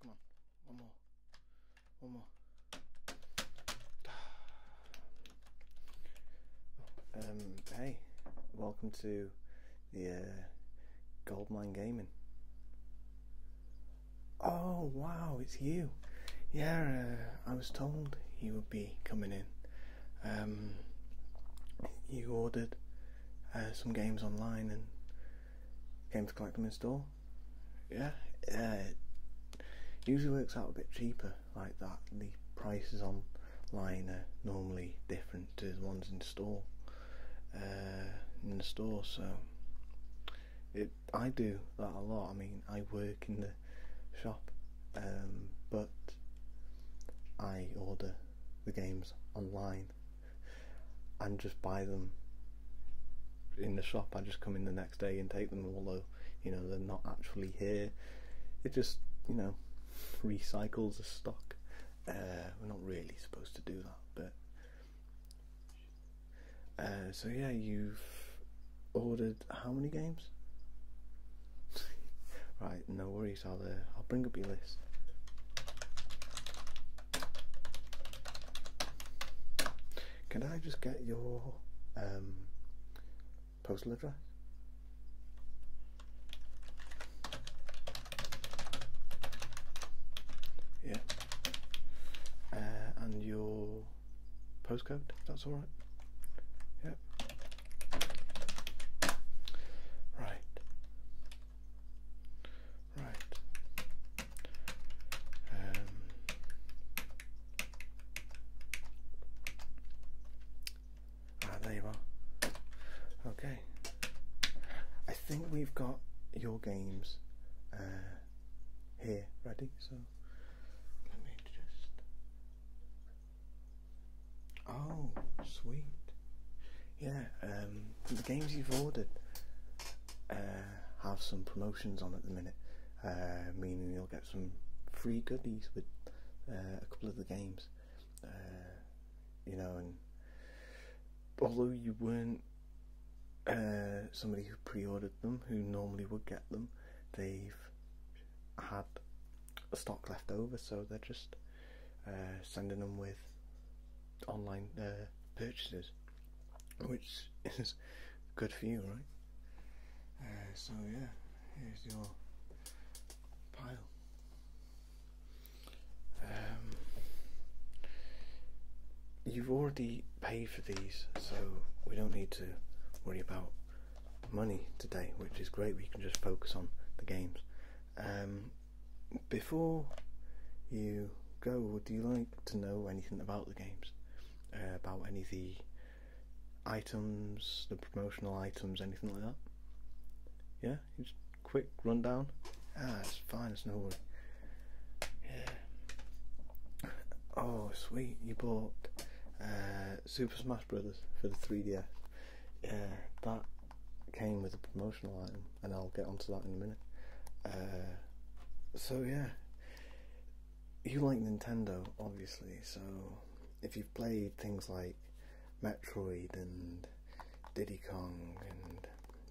Come on, one more, one more. Um, hey, welcome to the uh, Goldmine Gaming. Oh wow, it's you. Yeah, uh, I was told you would be coming in um, you ordered uh, some games online and came to collect them in store. Yeah, uh, usually works out a bit cheaper like that. The prices online are normally different to the ones in store. Uh, in the store, so I do that a lot. I mean, I work in the shop um, but I order the games online and just buy them in the shop. I just come in the next day and take them, although you know they're not actually here. It just you know recycles the stock. Uh, we're not really supposed to do that, but uh, so yeah, you've ordered how many games? right, no worries. I'll uh, I'll bring up your list. Can I just get your um, postal address? Yeah. Uh, and your postcode, that's alright. Yep. Right. Right. Um, ah, there you are. Okay. I think we've got your games uh, here ready, so let me just. Oh, sweet. Yeah, um, the games you've ordered uh, have some promotions on at the minute, uh, meaning you'll get some free goodies with uh, a couple of the games. you know, and although you weren't somebody who pre-ordered them, who normally would get them, they've had stock left over, so they're just uh, sending them with online uh, purchases, which is good for you, right? Uh, so yeah, here's your pile. Um, you've already paid for these, so we don't need to worry about money today, which is great. We can just focus on the games. Um, before you go, do you like to know anything about the games? Uh, about any of the items, the promotional items, anything like that? Yeah, just quick rundown. Ah, it's fine. It's no worry. Yeah. Oh, sweet! You bought uh, Super Smash Brothers for the 3DS. Uh, that came with a promotional item, and I'll get onto that in a minute. Uh, so yeah, you like Nintendo, obviously. So if you've played things like Metroid and Diddy Kong and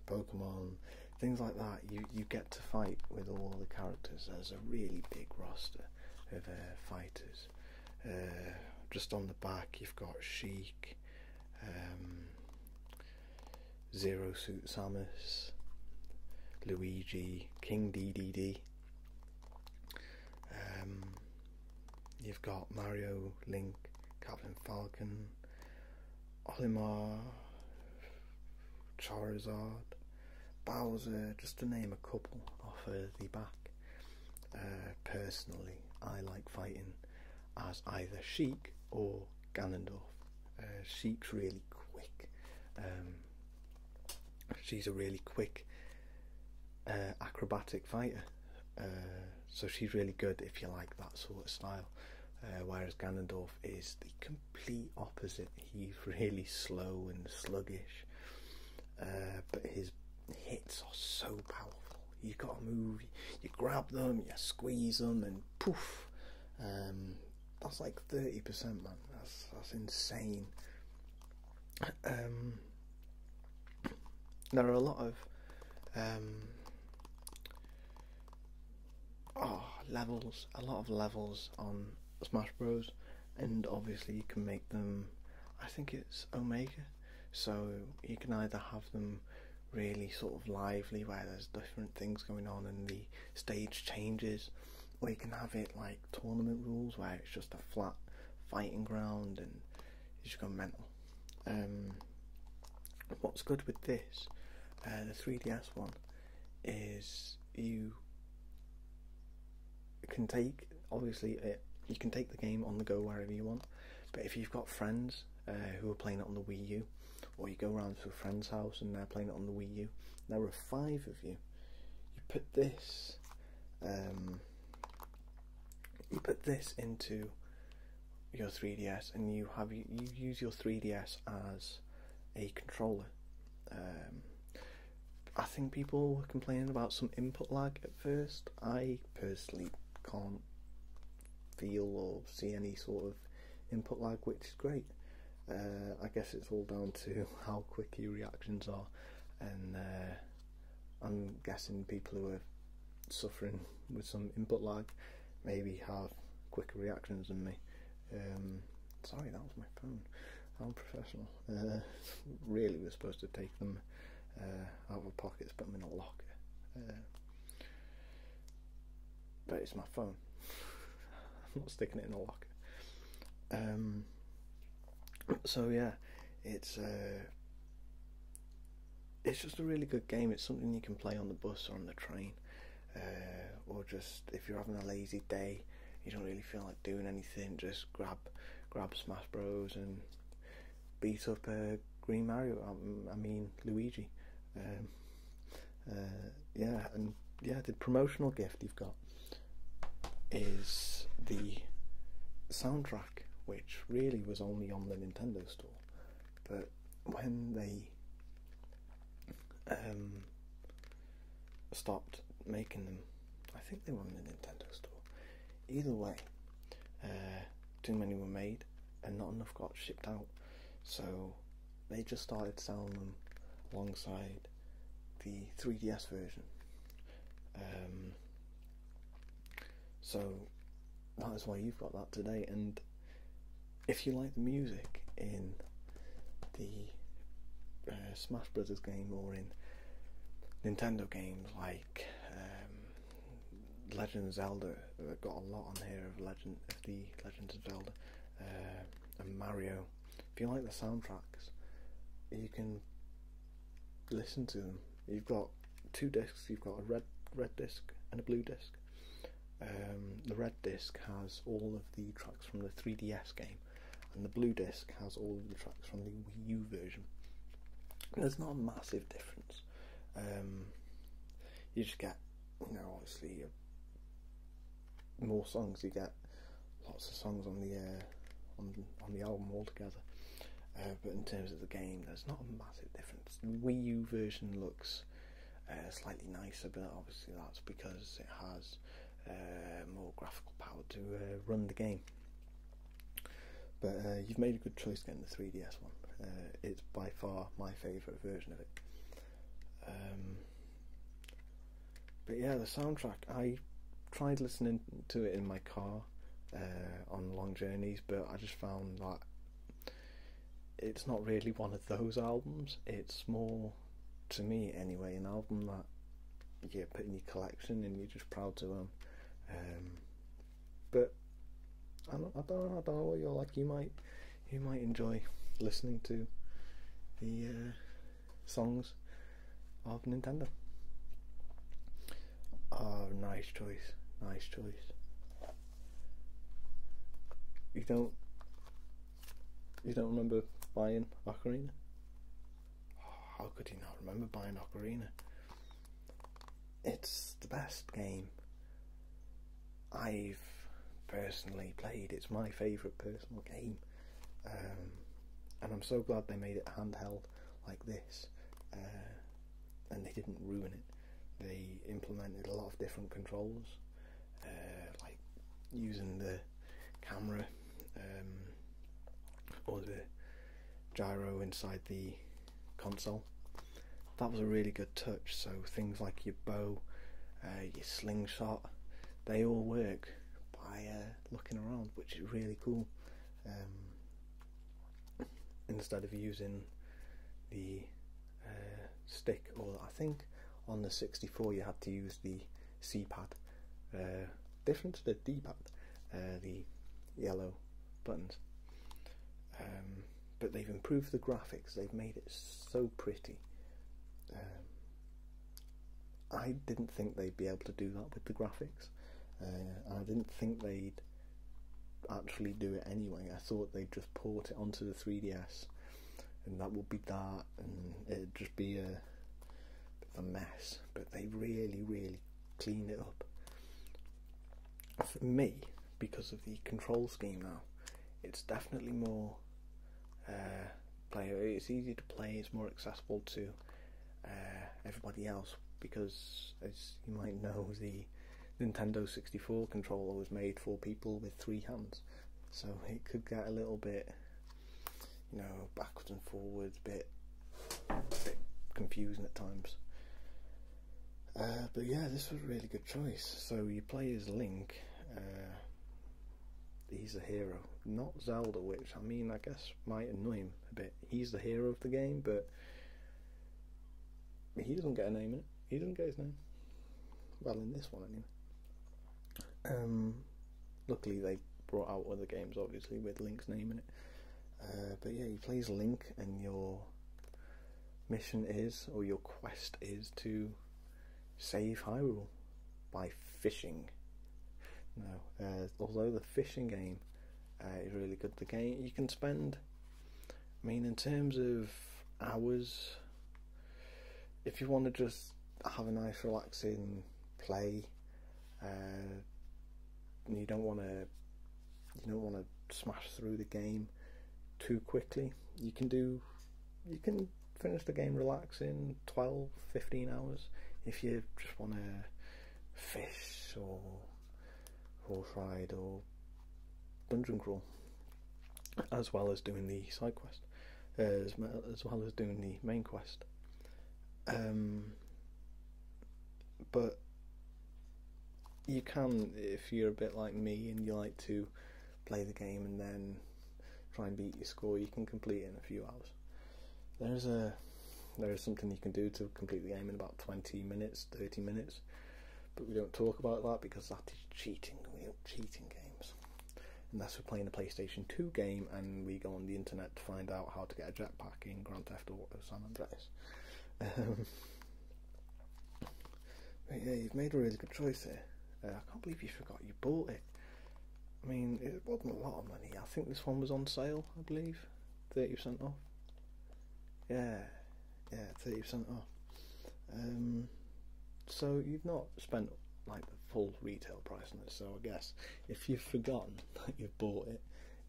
Pokemon, things like that, you you get to fight with all the characters. There's a really big roster of uh, fighters. Uh, just on the back, you've got Sheik, um, Zero Suit Samus, Luigi, King DDD. Um, you've got Mario, Link, Captain Falcon, Olimar, Charizard, Bowser, just to name a couple off the back. Uh, personally, I like fighting as either Sheik or Ganondorf. Uh, Sheik's really quick. Um, she's a really quick uh, acrobatic fighter, so she's really good if you like that sort of style. whereas Ganondorf is the complete opposite. He's really slow and sluggish, uh, but his hits are so powerful. You gotta move, you grab them, you squeeze them, and poof. Um, that's like 30%, man. That's, that's insane. Um, there are a lot of um, oh, levels, a lot of levels on Smash Bros and obviously you can make them I think it's Omega so you can either have them really sort of lively where there's different things going on and the stage changes or you can have it like tournament rules where it's just a flat fighting ground and you just go mental. Um, what's good with this, uh, the 3DS one, is you you can take obviously you can take the game on the go wherever you want, but if you've got friends uh, who are playing it on the Wii U, or you go around to a friend's house and they're playing it on the Wii U, there are five of you. You put this, um, you put this into your 3DS, and you have you use your 3DS as a controller. Um, I think people were complaining about some input lag at first. I personally can't feel or see any sort of input lag, which is great. Uh, I guess it's all down to how quick your reactions are, and uh, I'm guessing people who are suffering with some input lag maybe have quicker reactions than me. Um, sorry, that was my phone. I'm professional. Uh, really, we're supposed to take them uh, out of my pockets, put them in a locker. Uh, but it's my phone. I'm not sticking it in a locker. Um, so yeah, it's uh, it's just a really good game. It's something you can play on the bus or on the train, or just if you're having a lazy day, you don't really feel like doing anything. Just grab grab Smash Bros and beat up uh, Green Mario. Um, I mean Luigi. Um, uh, yeah, and yeah, the promotional gift you've got is the soundtrack, which really was only on the Nintendo store, but when they um, stopped making them I think they were in the Nintendo store. Either way, uh, too many were made and not enough got shipped out, so they just started selling them alongside the 3DS version. Um, so that is why you've got that today. And if you like the music in the uh, Smash Brothers game or in Nintendo games like um, Legend Zelda. I've got a lot on here of Legend of the Legend of Zelda uh, and Mario. If you like the soundtracks, you can listen to them. You've got two discs. You've got a red red disc and a blue disc. Um, the red disc has all of the tracks from the 3DS game, and the blue disc has all of the tracks from the Wii U version. There's not a massive difference. Um, you just get, you know, obviously uh, more songs. You get lots of songs on the uh, on the album altogether. Uh, but in terms of the game, there's not a massive difference. The Wii U version looks slightly nicer, but obviously that's because it has more graphical power to run the game. But uh, you've made a good choice getting the 3DS one. Uh, it's by far my favourite version of it. Um, but yeah, the soundtrack. I tried listening to it in my car uh, on long journeys, but I just found that it's not really one of those albums. It's more, to me anyway, an album that yeah, put in your collection and you're just proud to own. Um, but I don't, I don't know, I don't know what you're like. You might, you might enjoy listening to the uh, songs of Nintendo. Oh, nice choice, nice choice. You don't, you don't remember buying Ocarina? How could he not remember buying Ocarina? It's the best game I've personally played. It's my favourite personal game. Um, and I'm so glad they made it handheld like this. Uh, and they didn't ruin it. They implemented a lot of different controls, uh, like using the camera or um, the gyro inside the console. That was a really good touch. So things like your bow, uh, your slingshot, they all work by uh, looking around, which is really cool. Um, instead of using the uh, stick, or I think on the 64 you had to use the C pad. different to the D pad uh, the yellow buttons. Um, but they've improved the graphics, they've made it so pretty. Um, I didn't think they'd be able to do that with the graphics. and uh, I didn't think they'd actually do it anyway. I thought they'd just port it onto the 3DS and that would be that and it'd just be a, a mess. But they really, really clean it up. For me, because of the control scheme now, it's definitely more uh, player. It's easier to play. It's more accessible to uh, everybody else because, as you might know, the Nintendo 64 controller was made for people with three hands, so it could get a little bit you know, backwards and forwards, bit, bit confusing at times. Uh, but yeah, this was a really good choice. So you play as Link. Uh, he's a hero, not Zelda, which I mean, I guess might annoy him a bit. He's the hero of the game, but he doesn't get a name in it. He doesn't get his name. Well, in this one, anyway. Um, luckily, they brought out other games, obviously, with Link's name in it. Uh, but yeah, you please link, and your mission is, or your quest is, to save Hyrule by fishing. Now, uh, although the fishing game uh, is really good, the game you can spend. I mean, in terms of hours, if you want to just have a nice, relaxing play uh, you don't want to you don't want to smash through the game too quickly. You can do you can finish the game relax in 12 15 hours if you just want to fish or horse ride or dungeon crawl as well as doing the side quest uh, as, as well as doing the main quest um, but you can if you're a bit like me and you like to play the game and then try and beat your score you can complete in a few hours there's a there is something you can do to complete the game in about 20 minutes 30 minutes but we don't talk about that because that is cheating we don't cheat in games unless we're playing a playstation 2 game and we go on the internet to find out how to get a jetpack in Grand Theft Auto San Andreas. Um, but yeah, you've made a really good choice there. Uh, I can't believe you forgot you bought it. I mean, it wasn't a lot of money. I think this one was on sale, I believe. 30% off. Yeah, yeah, 30% off. Um, so you've not spent like the full retail price on it, so I guess if you've forgotten that you bought it,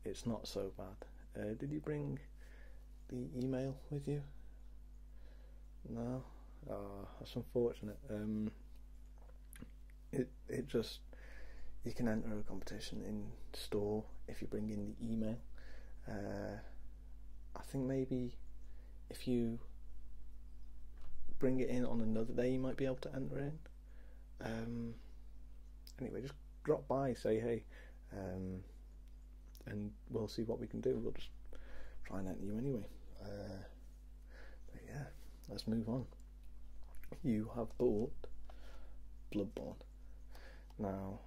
it's not so bad. Uh, did you bring the email with you? No. Ah, that's unfortunate. Um, it it just you can enter a competition in store if you bring in the email. Uh, I think maybe if you bring it in on another day, you might be able to enter in. Um, anyway, just drop by, say hey, um, and we'll see what we can do. We'll just try and enter you anyway. Uh, but yeah, let's move on. You have bought Bloodborne. Now,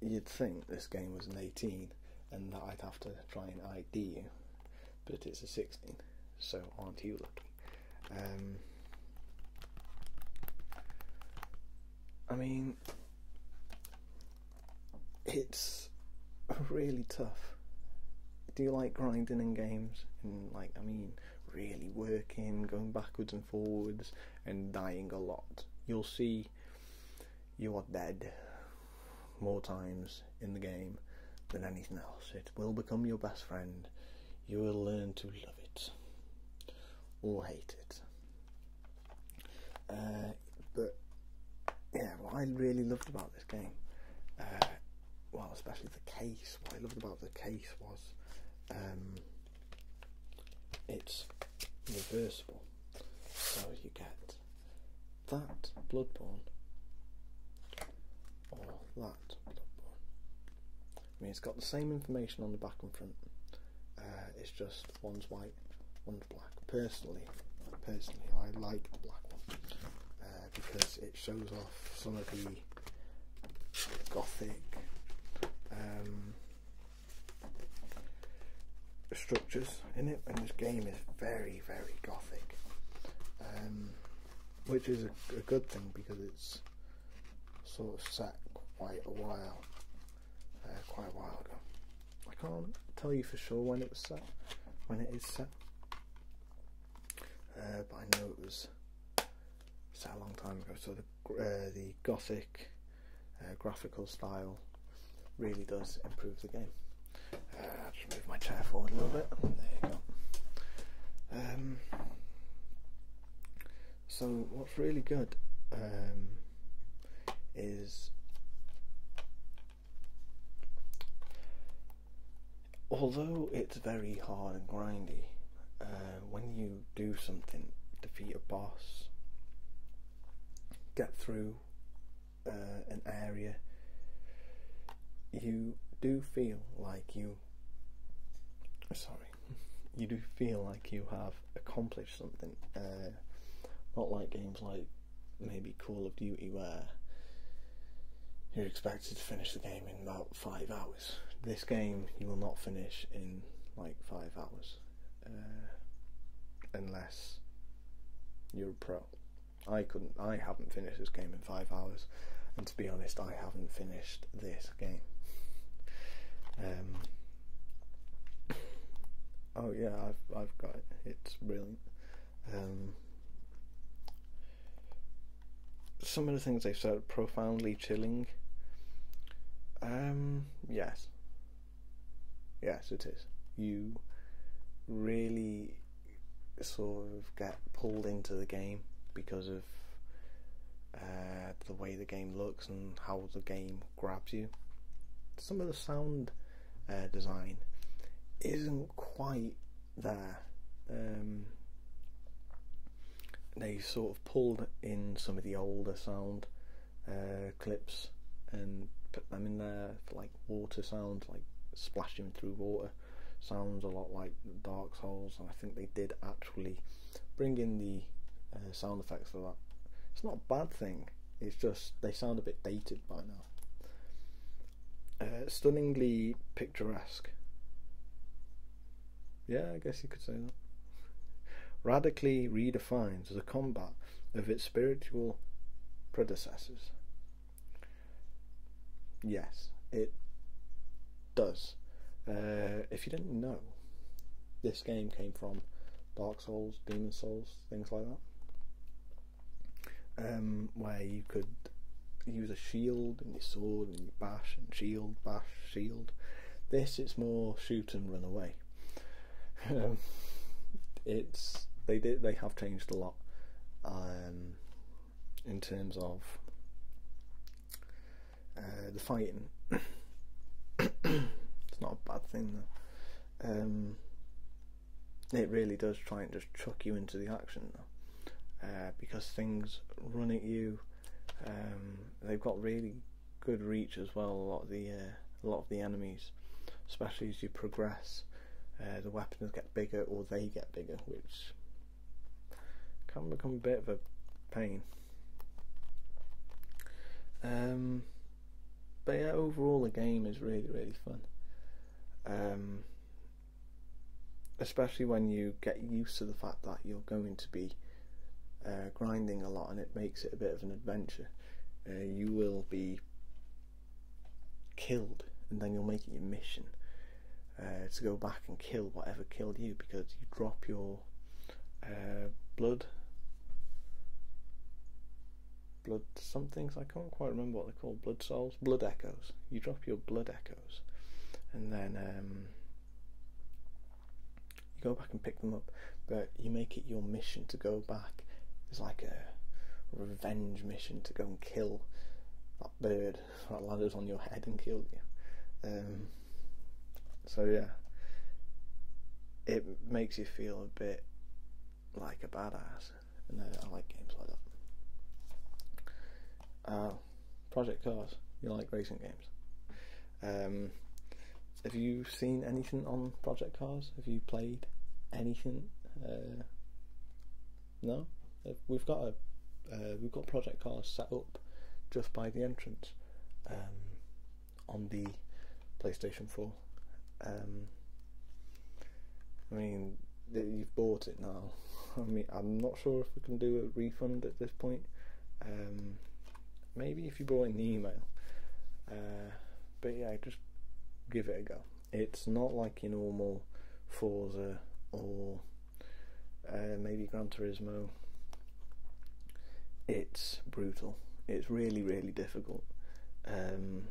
you'd think this game was an 18 and that I'd have to try and ID you, but it's a 16 so aren't you lucky? Um, I mean, it's really tough. Do you like grinding in games? And like, I mean, really working, going backwards and forwards, and dying a lot. You'll see you are dead more times in the game than anything else it will become your best friend. You will learn to love it or hate it. Uh, but yeah, what I really loved about this game, uh, well, especially the case, what I loved about the case was um, it's reversible. So you get that Bloodborne or I mean, it's got the same information on the back and front. Uh, it's just one's white, one's black. Personally, personally, I like the black one uh, because it shows off some of the gothic um, structures in it, and this game is very, very gothic, um, which is a good thing because it's sort of sat quite a while, uh, quite a while ago. I can't tell you for sure when it was set, when it is set, uh, but I know it was set a long time ago. So the uh, gothic graphical style really does improve the game. I'll just move my chair forward a little bit. There you go. Um, so what's really good um, is although it's very hard and grindy, uh, when you do something, defeat a boss, get through uh, an area, you do feel like you sorry you do feel like you have accomplished something uh, not like games like maybe Call of Duty where you're expected to finish the game in about five hours this game you will not finish in like five hours uh, unless you're a pro I couldn't I haven't finished this game in five hours to be honest, I haven't finished this game. Um, oh yeah, I've got it. It's brilliant. Um, some of the things they've said profoundly chilling. Um, yes. Yes, it is. You really sort of get pulled into the game because of uh, the way the game looks and how the game grabs you. Some of the sound uh, design isn't quite there. Um, they sort of pulled in some of the older sound uh, clips and put them in there for like water sounds, like splashing through water sounds a lot like Dark Souls, and I think they did actually bring in the uh, sound effects of that. It's not a bad thing, it's just they sound a bit dated by now. Uh, stunningly picturesque. Yeah, I guess you could say that. Radically redefines the combat of its spiritual predecessors. Yes, it does. Uh, if you didn't know, this game came from Dark Souls, Demon Souls, things like that, um, where you could use a shield and your sword and you bash and shield, bash, shield. This it's more shoot and run away. Um, it's they did they have changed a lot. Um, in terms of uh, the fighting. it's not a bad thing um, it really does try and just chuck you into the action uh, because things run at you. Um, they've got really good reach as well. A lot of the uh, a lot of the enemies, especially as you progress, the weapons get bigger or they get bigger, which can become a bit of a pain. Um, but yeah, overall the game is really really fun. Um, especially when you get used to the fact that you're going to be uh, grinding a lot, and it makes it a bit of an adventure. Uh, you will be killed, and then you'll make it your mission. Uh, to go back and kill whatever killed you because you drop your uh, blood blood some things I can't quite remember what they're called blood souls blood echoes you drop your blood echoes and then um, you go back and pick them up but you make it your mission to go back it's like a revenge mission to go and kill that bird that land on your head and killed you. Um, so yeah, it makes you feel a bit like a badass, and I, like games like that. Uh, Project Cars, you like racing games. Um, have you seen anything on Project Cars? Have you played anything? Uh, no. Uh, we've got a uh, we've got project cars set up just by the entrance um, on the PlayStation 4. Um, I mean, you've bought it now. I mean, I'm not sure if we can do a refund at this point. Um, maybe if you brought in the email. Uh, but yeah, just give it a go. It's not like your normal Forza or uh, maybe Gran Turismo. It's brutal. It's really, really difficult, um,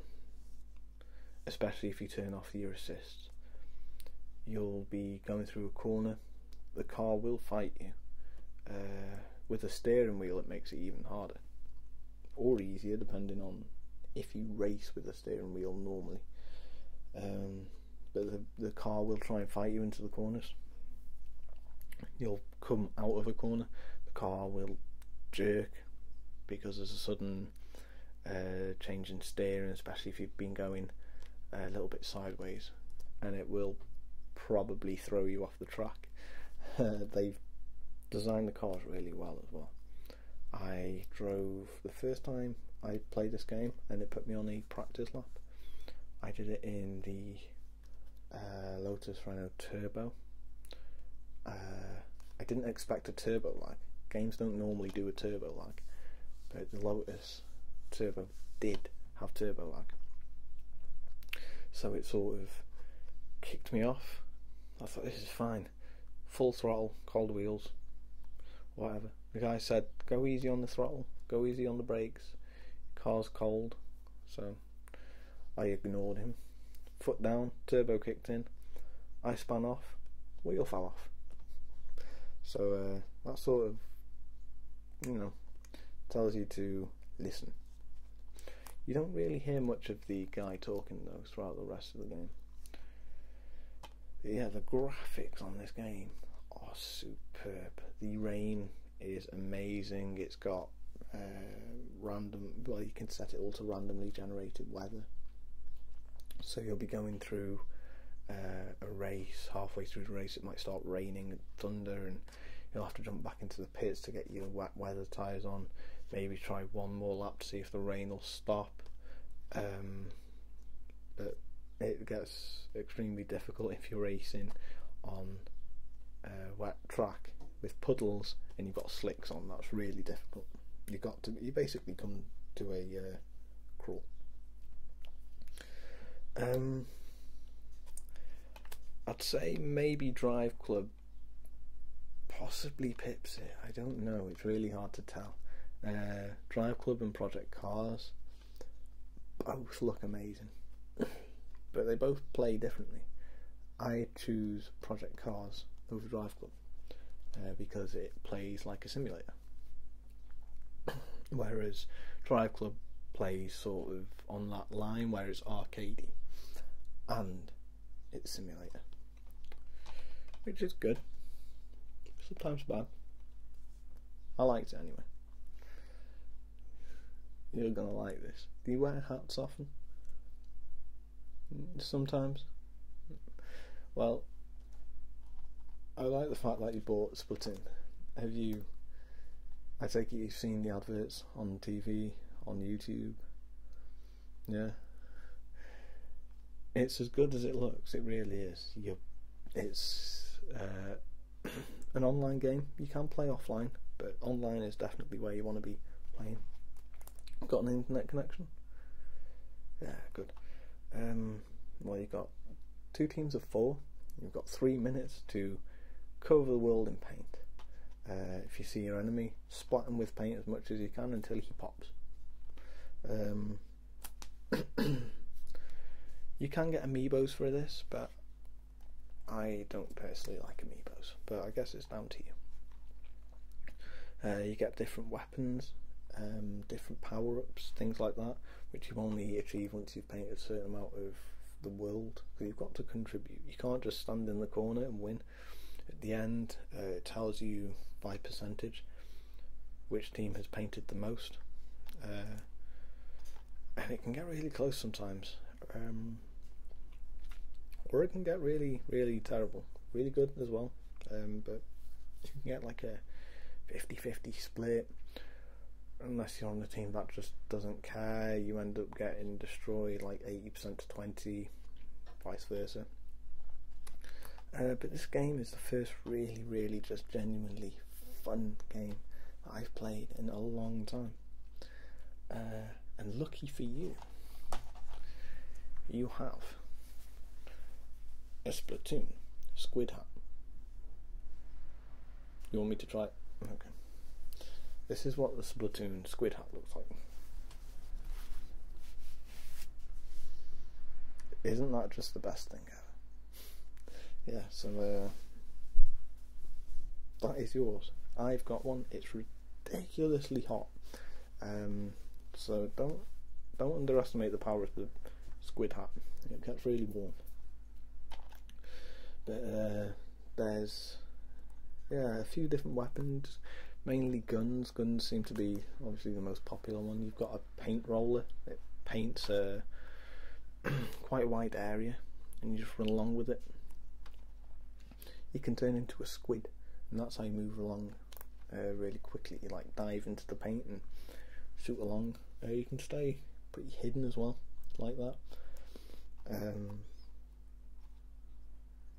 especially if you turn off your assist. You'll be going through a corner. The car will fight you. Uh, with a steering wheel, it makes it even harder or easier, depending on if you race with a steering wheel normally. Um, but the, the car will try and fight you into the corners. You'll come out of a corner, the car will jerk because there's a sudden uh, change in steering, especially if you've been going a little bit sideways, and it will probably throw you off the track. they've designed the cars really well as well. I drove the first time I played this game and it put me on the practice lap, I did it in the uh, Lotus Rhino Turbo. Uh, I didn't expect a turbo lag. Games don't normally do a turbo lag, but the Lotus Turbo did have turbo lag. So it sort of kicked me off. I thought this is fine. Full throttle, cold wheels, whatever. The guy said, "Go easy on the throttle, go easy on the brakes. Car's cold." So I ignored him. Foot down, turbo kicked in. I spun off, wheel fell off. So uh, that sort of, you know, tells you to listen. You don't really hear much of the guy talking though throughout the rest of the game yeah, the graphics on this game are superb. The rain is amazing. It's got uh, random, well, you can set it all to randomly generated weather. So you'll be going through uh, a race. Halfway through the race, it might start raining and thunder, and you'll have to jump back into the pits to get your wet weather tyres on. Maybe try one more lap to see if the rain will stop. Um, it gets extremely difficult if you're racing on a uh, wet track with puddles and you've got slicks on. That's really difficult. You got to you basically come to a uh, crawl. Um, I'd say maybe Drive Club, possibly Pipsy. I don't know. It's really hard to tell. Uh, Drive Club and Project Cars both look amazing, but they both play differently. I choose Project Cars over Drive Club uh, because it plays like a simulator, whereas Drive Club plays sort of on that line where it's arcadey and it's simulator, which is good, sometimes bad. I liked it anyway. You're gonna like this. Do you wear hats often? Sometimes. Well, I like the fact that you bought Splitting. Have you? I take it you've seen the adverts on TV, on YouTube. Yeah. It's as good as it looks. It really is. You it's uh, an online game. You can play offline, but online is definitely where you want to be playing. Got an internet connection? Yeah, good. Um, well, you've got two teams of four. You've got three minutes to cover the world in paint. Uh, if you see your enemy, spot him with paint as much as you can until he pops. Um, you can get amiibos for this, but I don't personally like amiibos. But I guess it's down to you. Uh, you get different weapons, um, different power ups, things like that, which you only achieve once you've painted a certain amount of the world. Because you've got to contribute. You can't just stand in the corner and win. At the end, uh, it tells you by percentage which team has painted the most. Uh, and it can get really close sometimes. Um, or it can get really, really terrible. Really good as well. Um, but you can get like a 50 50 split. Unless you're on the team that just doesn't care, you end up getting destroyed like 80% to 20, vice versa. Uh, but this game is the first really, really just genuinely fun game that I've played in a long time. Uh, and lucky for you, you have a Splatoon Squid Hat. You want me to try it? Okay. This is what the Splatoon Squid Hat looks like. Isn't that just the best thing yeah, so uh, that is yours. I've got one. It's ridiculously hot. Um, so don't don't underestimate the power of the squid hat. It gets really warm. But uh, there's yeah a few different weapons, mainly guns. Guns seem to be obviously the most popular one. You've got a paint roller. It paints a quite a wide area, and you just run along with it. You can turn into a squid, and that's how you move along uh, really quickly. You like dive into the paint and shoot along. Uh, you can stay pretty hidden as well, like that. Um,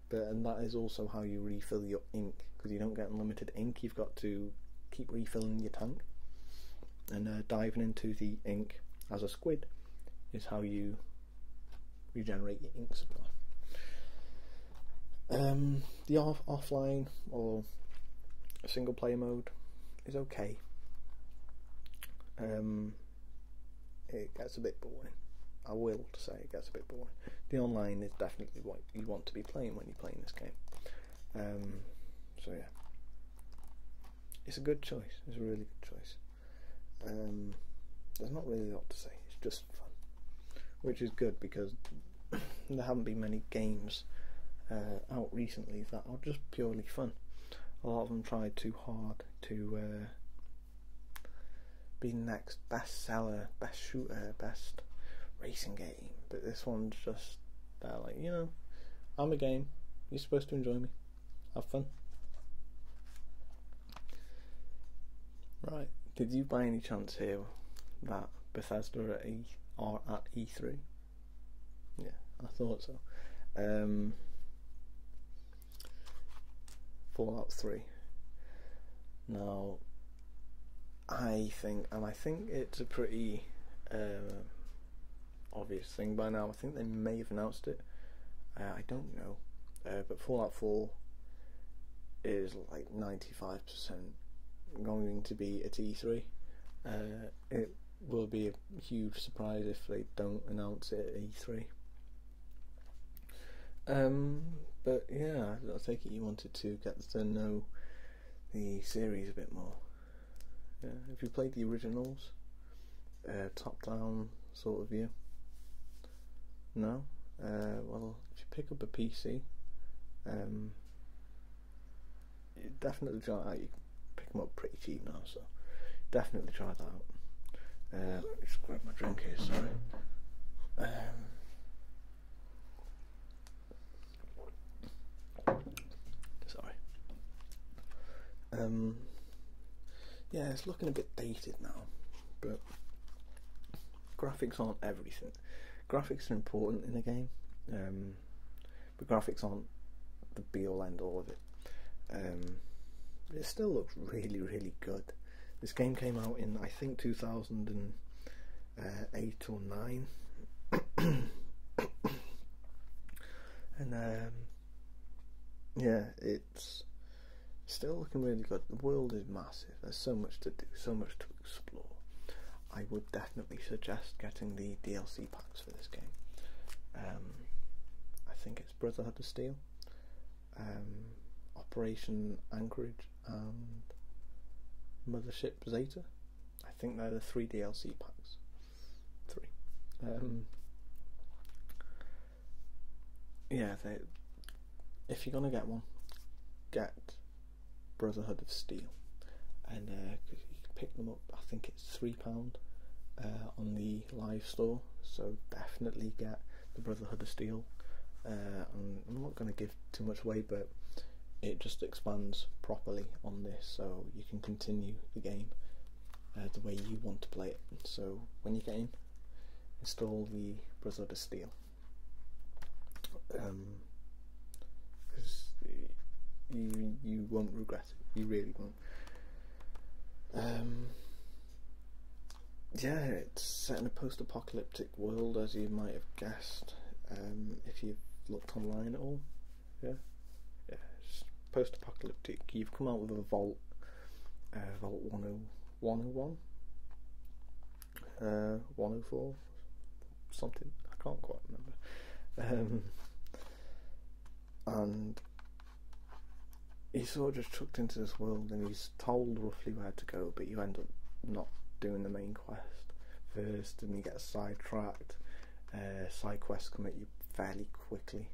but and that is also how you refill your ink because you don't get unlimited ink you've got to keep refilling your tank and uh, diving into the ink as a squid is how you regenerate your ink supply. Um, the offline or single player mode is okay. Um, it gets a bit boring. I will say it gets a bit boring. The online is definitely what you want to be playing when you're playing this game. Um, so yeah, it's a good choice. It's a really good choice. Um, there's not really a lot to say. It's just fun, which is good because there haven't been many games uh, out recently that are just purely fun. A lot of them try too hard to uh, be next best seller, best shooter, best racing game but this one's just that, like, you know, I'm a game. You're supposed to enjoy me. Have fun. Right. Did you by any chance hear that Bethesda are at E3? Yeah, I thought so. Um, Fallout 3. Now, I think, and I think it's a pretty um, obvious thing by now. I think they may have announced it. Uh, I don't know, uh, but Fallout Four is like ninety five percent going to be at E three. Uh, it will be a huge surprise if they don't announce it at E three. Um, but yeah, I think you wanted to get to know the series a bit more. Yeah, if you played the originals, uh, top-down sort of view. No, uh, well, if you pick up a PC, um, definitely try You pick them up pretty cheap now, so definitely try that out. Uh, let me just grab my drink here. Sorry. Um, Sorry. Um, yeah, it's looking a bit dated now, but graphics aren't everything. Graphics are important in a game, um, but graphics aren't the be all and all of it. Um, it still looks really, really good. This game came out in I think 2000 and uh, eight or nine, and um, yeah, it's still looking really good. The world is massive. There's so much to do, so much to explore. I would definitely suggest getting the DLC packs for this game. Um, I think it's Brotherhood of Steel, um, Operation Anchorage, and Mothership Zeta. I think they're the three DLC packs. Three. Um, yeah, if you're gonna get one, get Brotherhood of Steel, and uh, you can pick them up. I think it's three pound uh, on the live store, so definitely get the Brotherhood of Steel. Uh, I'm not gonna give too much away, but it just expands properly on this so you can continue the game uh, the way you want to play it. So when you get in, install the Brotherhood of Steal. Um, you you won't regret it. You really won't. Um, yeah, it's set in a post-apocalyptic world, as you might have guessed, um, if you've looked online at all. Yeah, yeah post-apocalyptic. You've come out with a Vault, uh, Vault 101, 104, uh, something. I can't quite remember. Um, and he's sort of just chucked into this world, and he's told roughly where to go, but you end up not doing the main quest first, and he gets sidetracked uh, side quests come at you fairly quickly,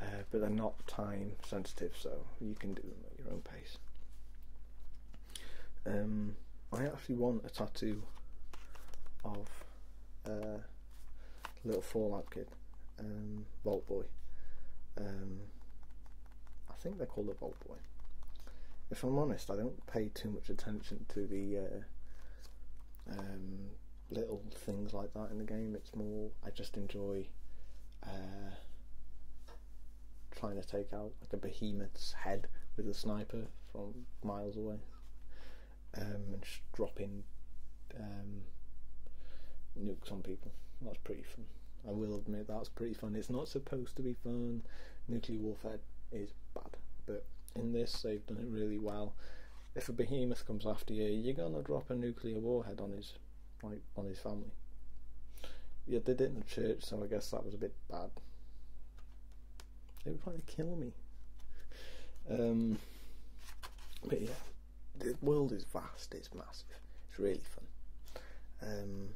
uh, but they're not time sensitive, so you can do them at your own pace. Um, I actually want a tattoo of a uh, little Fallout kid, um, Vault Boy. Um, I think they call it a Vault Boy. If I'm honest, I don't pay too much attention to the uh, um, little things like that in the game. It's more I just enjoy uh, trying to take out like a behemoth's head with a sniper from miles away, um, and just dropping um, nukes on people. That's pretty fun. I will admit that's pretty fun. It's not supposed to be fun. Nuclear warfare is bad, but in this they've done it really well. If a behemoth comes after you, you're gonna drop a nuclear warhead on his like on his family. You did it in the church, so I guess that was a bit bad. They were trying to kill me. Um, but yeah, the world is vast. It's massive. It's really fun. Um,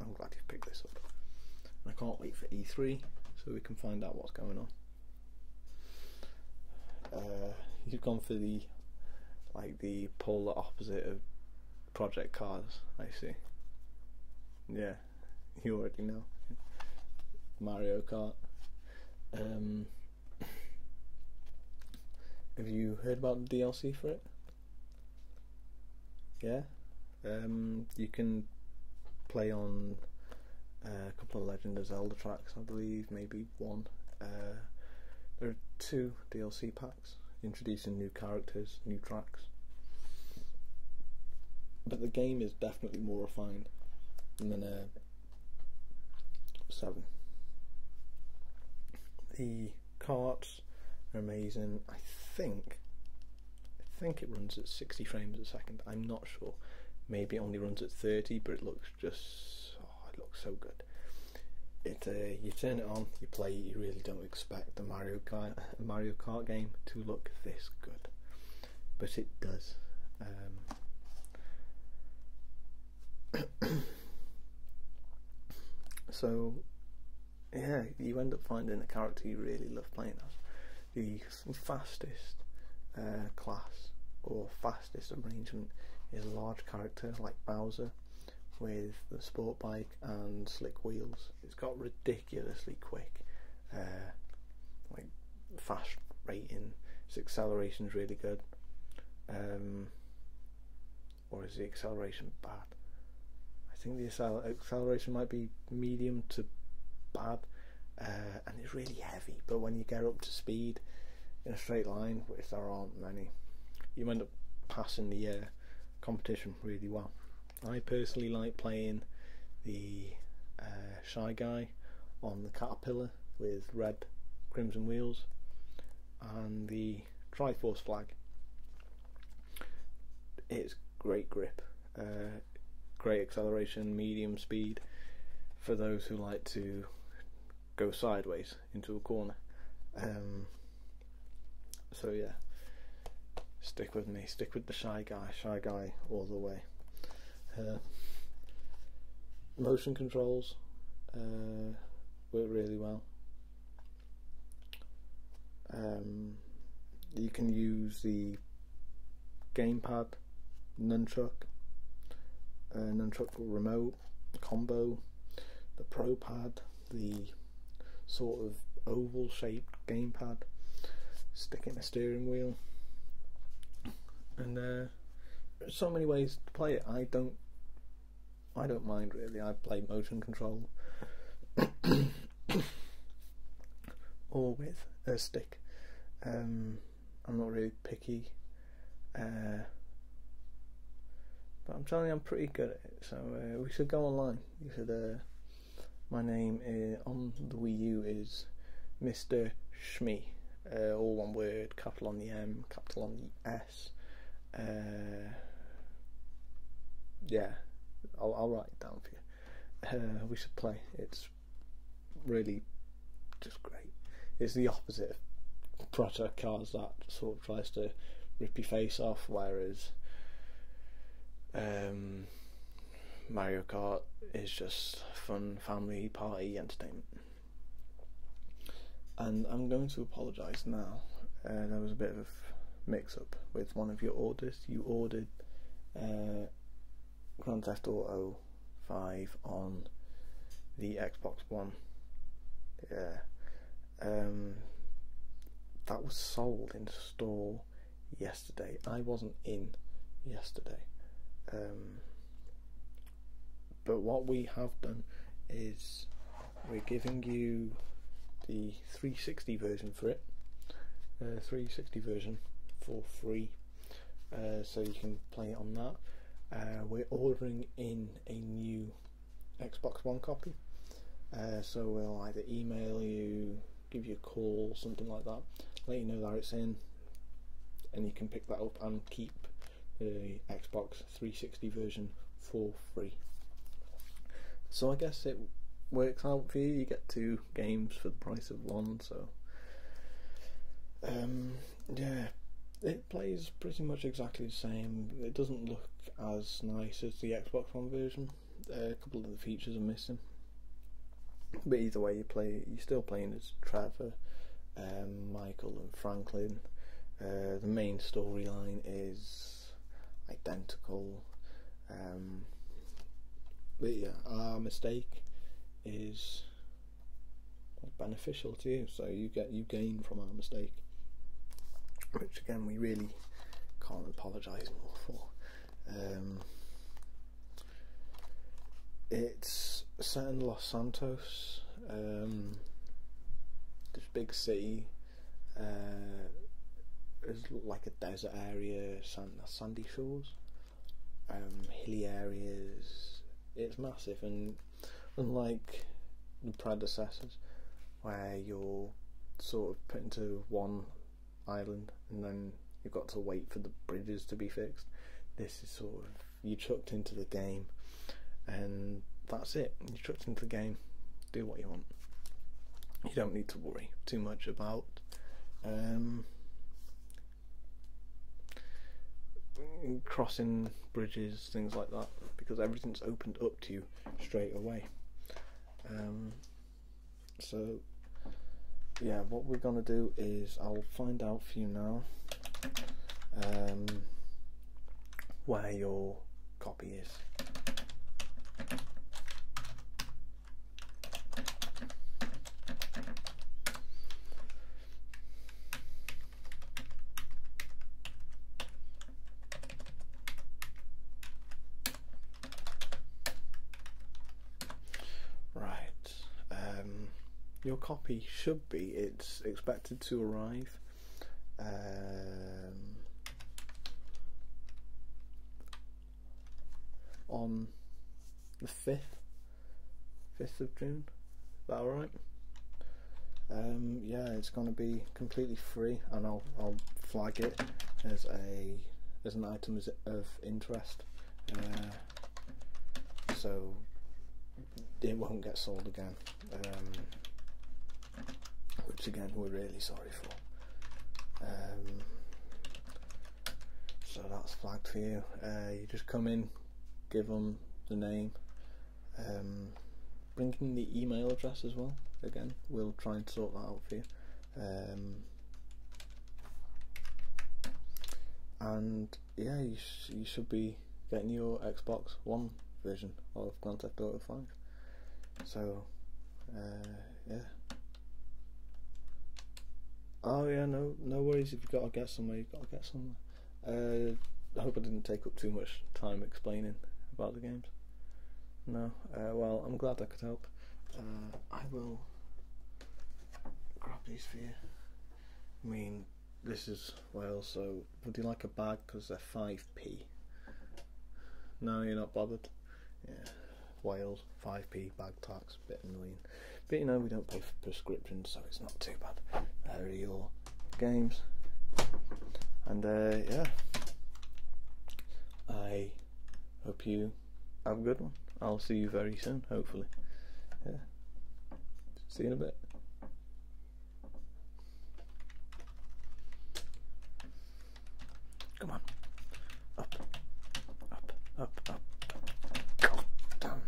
I'm glad you picked this up. I can't wait for E3 so we can find out what's going on. Uh, you've gone for the like the polar opposite of Project Cars. I see. Yeah, you already know Mario Kart. Um, have you heard about the DLC for it? Yeah, um, you can play on uh, a couple of Legend of Zelda tracks, I believe, maybe one. Uh, there are two DLC packs introducing new characters, new tracks. But the game is definitely more refined than uh, 7. The carts are amazing. I think I think it runs at 60 frames a second. I'm not sure. Maybe it only runs at 30, but it looks just oh, it looks so good. It uh, you turn it on, you play. You really don't expect a Mario Kart game to look this good, but it does. Um, so yeah, you end up finding a character you really love playing as. The the fastest uh, class or fastest arrangement is large character like Bowser with the sport bike and slick wheels. It's got ridiculously quick, uh, like fast rating. acceleration is really good. Um, or is the acceleration bad? I think the acceleration might be medium to bad. Uh, and it's really heavy. But when you get up to speed in a straight line, which there aren't many, you end up passing the uh, competition really well. I personally like playing the uh, Shy Guy on the Caterpillar with red crimson wheels and the Triforce flag. It's great grip uh, great acceleration, medium speed for those who like to go sideways into a corner. Um, so yeah, stick with me, stick with the shy guy, shy guy all the way. Uh, motion controls uh, work really well. Um, you can use the gamepad, nunchuk, uh, nunchuk remote combo, the pro pad, the sort of oval shaped gamepad, stick in the steering wheel, and uh, so many ways to play it. I don't, I don't mind really. I play motion control. or with a stick. Um, I'm not really picky, uh, but I'm telling you, I'm pretty good at it. So uh, we should go online. Uh, my name on the Wii U is Mr. Shmi, all one word, capital on the M, capital on the S. yeah, I'll write it down for you. Uh, we should play. It's really just great. It's the opposite of proto cards that sort of tries to rip your face off, whereas um, Mario Kart is just fun family party entertainment. And I'm going to apologise now. Uh, there was a bit of mix up with one of your orders. You ordered uh, Grand Theft Auto 5 on the Xbox One. Yeah. Um, that was sold in store yesterday. I wasn't in yesterday. Um, but what we have done is we're giving you the 360 version for it, uh, 360 version for free, uh, so you can play it on that. Uh, we're ordering in a new Xbox One copy, so we'll either email you, give you a call, something like that, let you know that it's in, and you can pick that up and keep the Xbox 360 version for free. So I guess it works out for you. You get to games for the price of one. So, um, yeah, it plays pretty much exactly the same. It doesn't look as nice as the Xbox One version. a couple of the features are missing, but either way, you play. You're still playing as Trevor, um, Michael, and Franklin. Uh, the main storyline is identical. Um, but yeah, our mistake is beneficial to you, so you get you gain from our mistake, which again we really can't apologise for. Um, it's set in Los Santos, um, this big city. Uh, it's like a desert area, sandy shores, um, hilly areas. It's massive, and unlike the predecessors, where you're sort of put into one island and then you've got to wait for the bridges to be fixed, this is sort of you chucked into the game, and that's it. You are chucked into the game, do what you want. You don't need to worry too much about um, crossing bridges, things like that, because everything's opened up to you straight away. Um, so, yeah, what we're going to do is I'll find out for you now um, where your copy is. Right, um, your copy should be, it's expected to arrive. Um, on the 5th 5th of June is that alright? Um, yeah it's going to be completely free and I'll, flag it as a as an item of interest uh, so it won't get sold again um, which again we're really sorry for um, so that's flagged for you uh, you just come in give them the name um, bring in the email address as well again we'll try and sort that out for you um, and yeah you, you should be getting your Xbox One version of Grand Theft Auto 5 so uh, yeah. Oh yeah, no, no worries. If you've got to get somewhere, you've got to get somewhere. Uh, I hope I didn't take up too much time explaining about the games. No, uh, well, I'm glad I could help. Uh, I will grab these for you. I mean, this is Wales, so would you like a bag? Because they're 5p. No, you're not bothered. Yeah. Wales, 5p bag tax, bit annoying. But you know, we don't pay for prescriptions, so it's not too bad. There are your games. And uh, yeah, I hope you have a good one. I'll see you very soon, hopefully. Yeah. See you in a bit. Come on. Up. Up. Up. Up. God damn.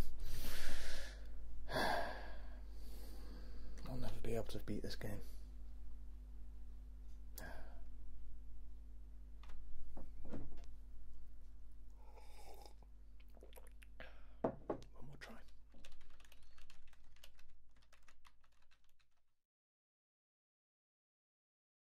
I'll never be able to beat this game.